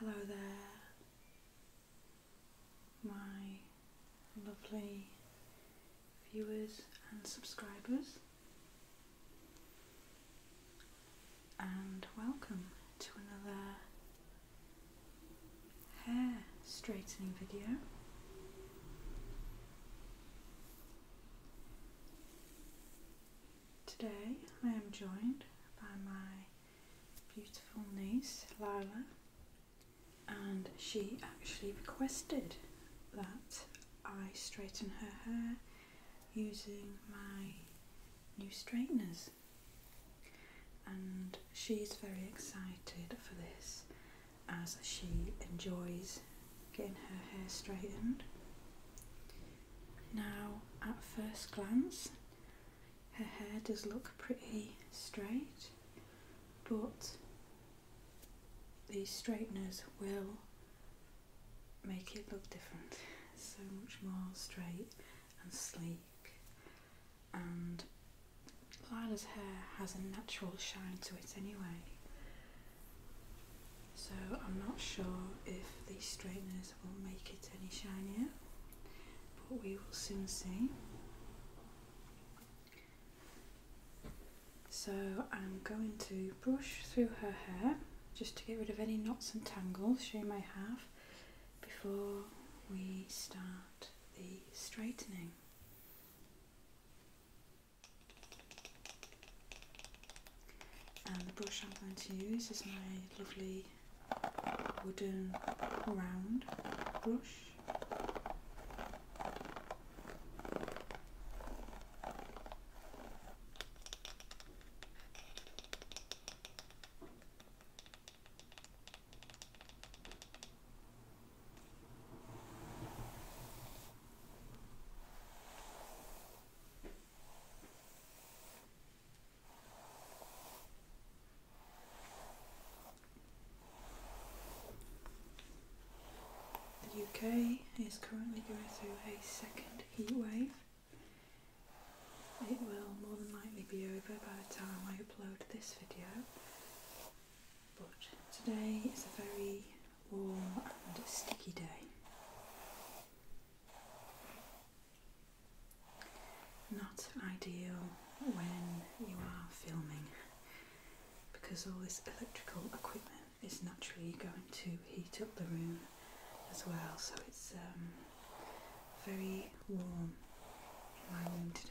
Hello there, my lovely viewers and subscribers, and welcome to another hair straightening video. Today I am joined by my beautiful niece Lila and she actually requested that I straighten her hair using my new straighteners and she's very excited for this as she enjoys getting her hair straightened. Now, at first glance, her hair does look pretty straight, but these straighteners will make it look different, so much more straight and sleek and Lila's hair has a natural shine to it anyway. So I'm not sure if the straighteners will make it any shinier, but we will soon see. So I'm going to brush through her hair just to get rid of any knots and tangles she may have before we start the straightening. And the brush I'm going to use is my lovely wooden round brush. The UK is currently going through a second heat wave it will more than likely be over by the time I upload this video, but today is a very warm and sticky day. Not ideal when you are filming because all this electrical equipment is naturally going to heat up the room as well, so it's um, very warm in my room today.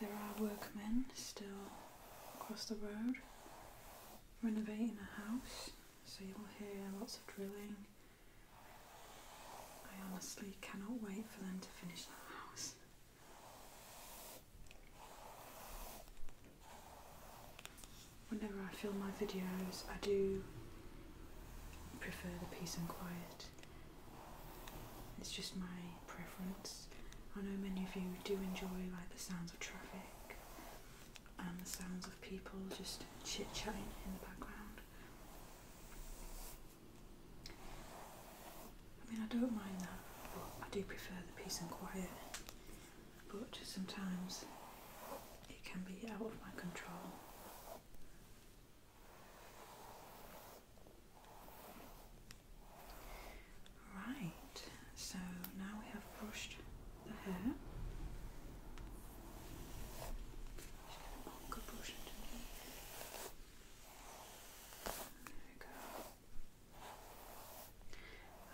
There are workmen still across the road renovating a house, so you'll hear lots of drilling. I honestly cannot wait for them to finish that house. Whenever I film my videos, I do prefer the peace and quiet. It's just my preference. I know many of you do enjoy like the sounds of traffic and the sounds of people just chit-chatting in the background. I mean, I don't mind that, I do prefer the peace and quiet but sometimes it can be out of my control. Right, so now we have brushed the hair. Just get a longer brush underneath. There we go.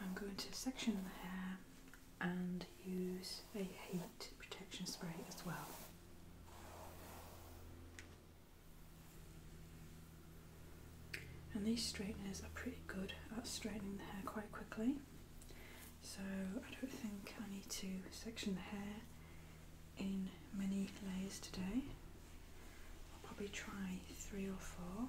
I'm going to section the hair and use a heat protection spray as well. And these straighteners are pretty good at straightening the hair quite quickly. So I don't think I need to section the hair in many layers today. I'll probably try three or four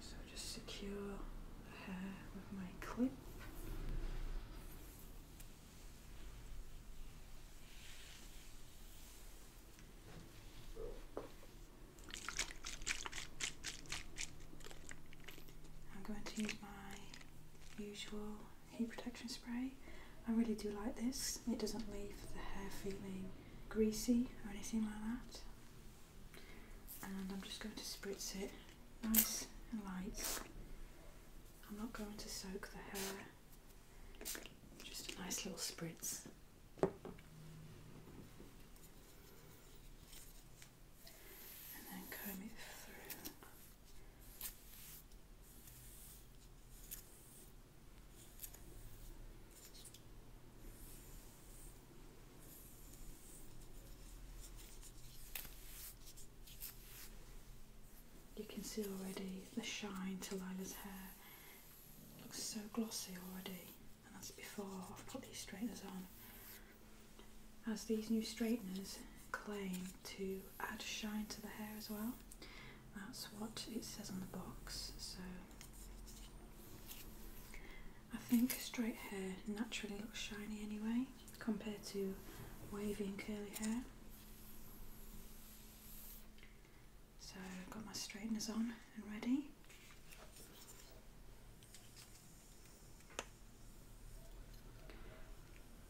so just secure the hair with my clip. I'm going to use my usual heat protection spray. I really do like this. It doesn't leave the hair feeling greasy or anything like that. And I'm just going to spritz it nice and light. I'm not going to soak the hair. Just a nice little spritz. And then comb it through. You can see already the shine to Lila's hair. It looks so glossy already, and that's before I've put these straighteners on. As these new straighteners claim to add shine to the hair as well. That's what it says on the box. So I think straight hair naturally looks shiny anyway compared to wavy and curly hair. So I've got my straighteners on and ready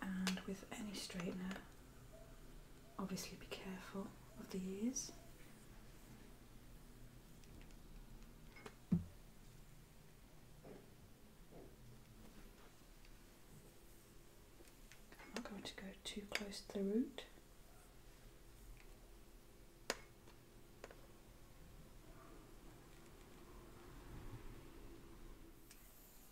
and with any straightener obviously be careful of the ears I'm not going to go too close to the root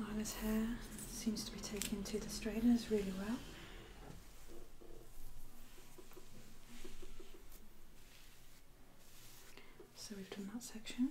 Lara's hair seems to be taken to the straighteners really well. So we've done that section.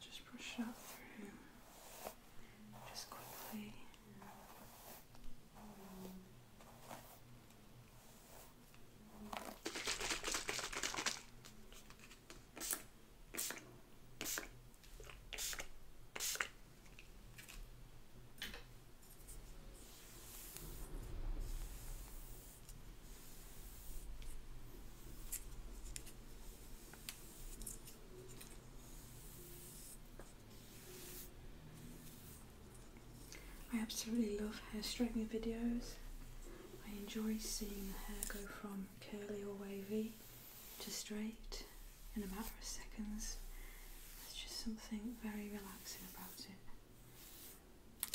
just push it up through just quickly. I absolutely love hair straightening videos. I enjoy seeing the hair go from curly or wavy to straight in a matter of seconds. There's just something very relaxing about it.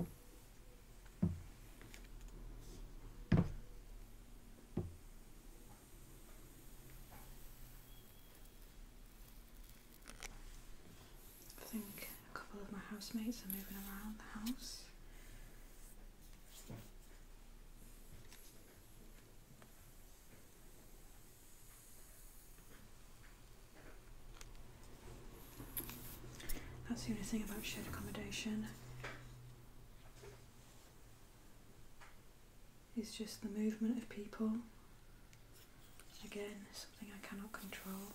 I think a couple of my housemates are moving around the house. That's the only thing about shared accommodation. It's just the movement of people. Again, something I cannot control.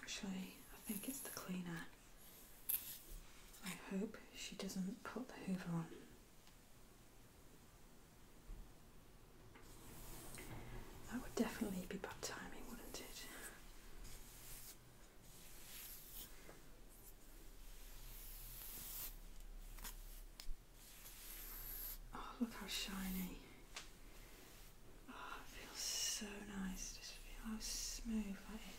Actually, I think it's the cleaner. I hope she doesn't put the hoover on. That would definitely be bad timing, wouldn't it? Oh, look how shiny. Oh, it feels so nice. Just feel how smooth that is.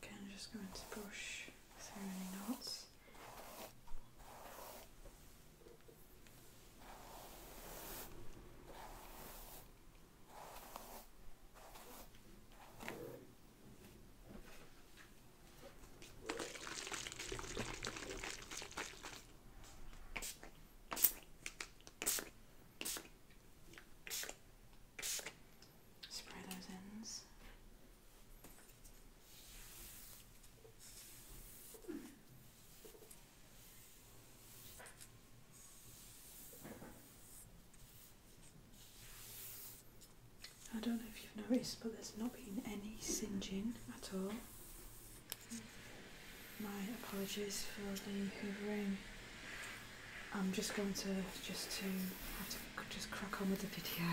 Okay, I'm just going to brush through any knots. Spray those ends. I don't know if you've noticed, but there's not been any singeing at all. My apologies for the hovering. I'm just going to just to just crack on with the video.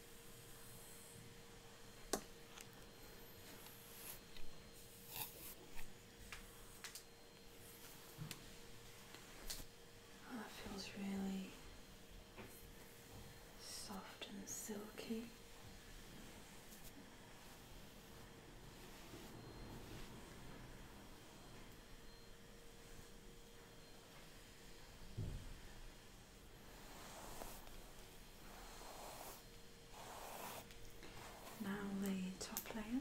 Oh, that feels really soft and silky. Now the top layer.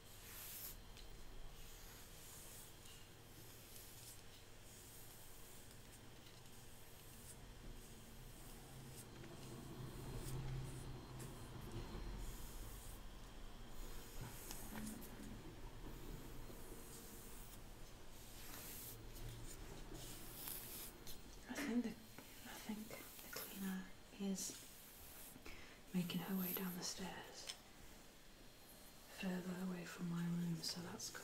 I think the I think the cleaner is making her way down the stairs further away from my room, so that's good.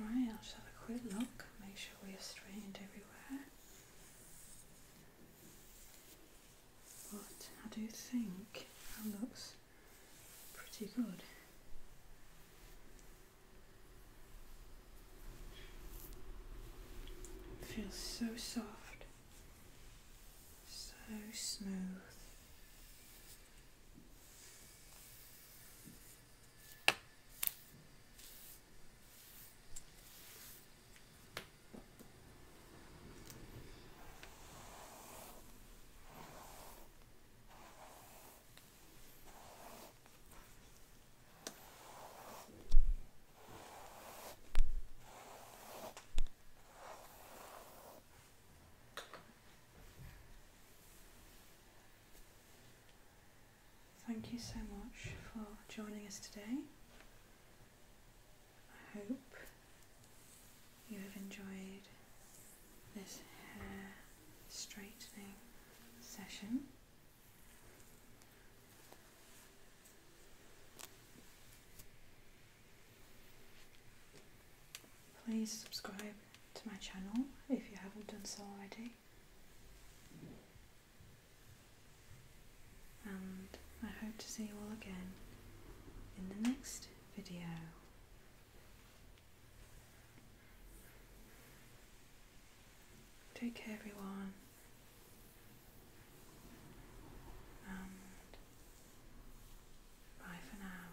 Right, I'll just have a quick look, make sure we are straightened everywhere but I do think that looks pretty good. feels so soft, so smooth. Thank you so much for joining us today. I hope you have enjoyed this hair straightening session. Please subscribe to my channel if you haven't done so already. And I hope to see you all again in the next video. Take care, everyone, and bye for now.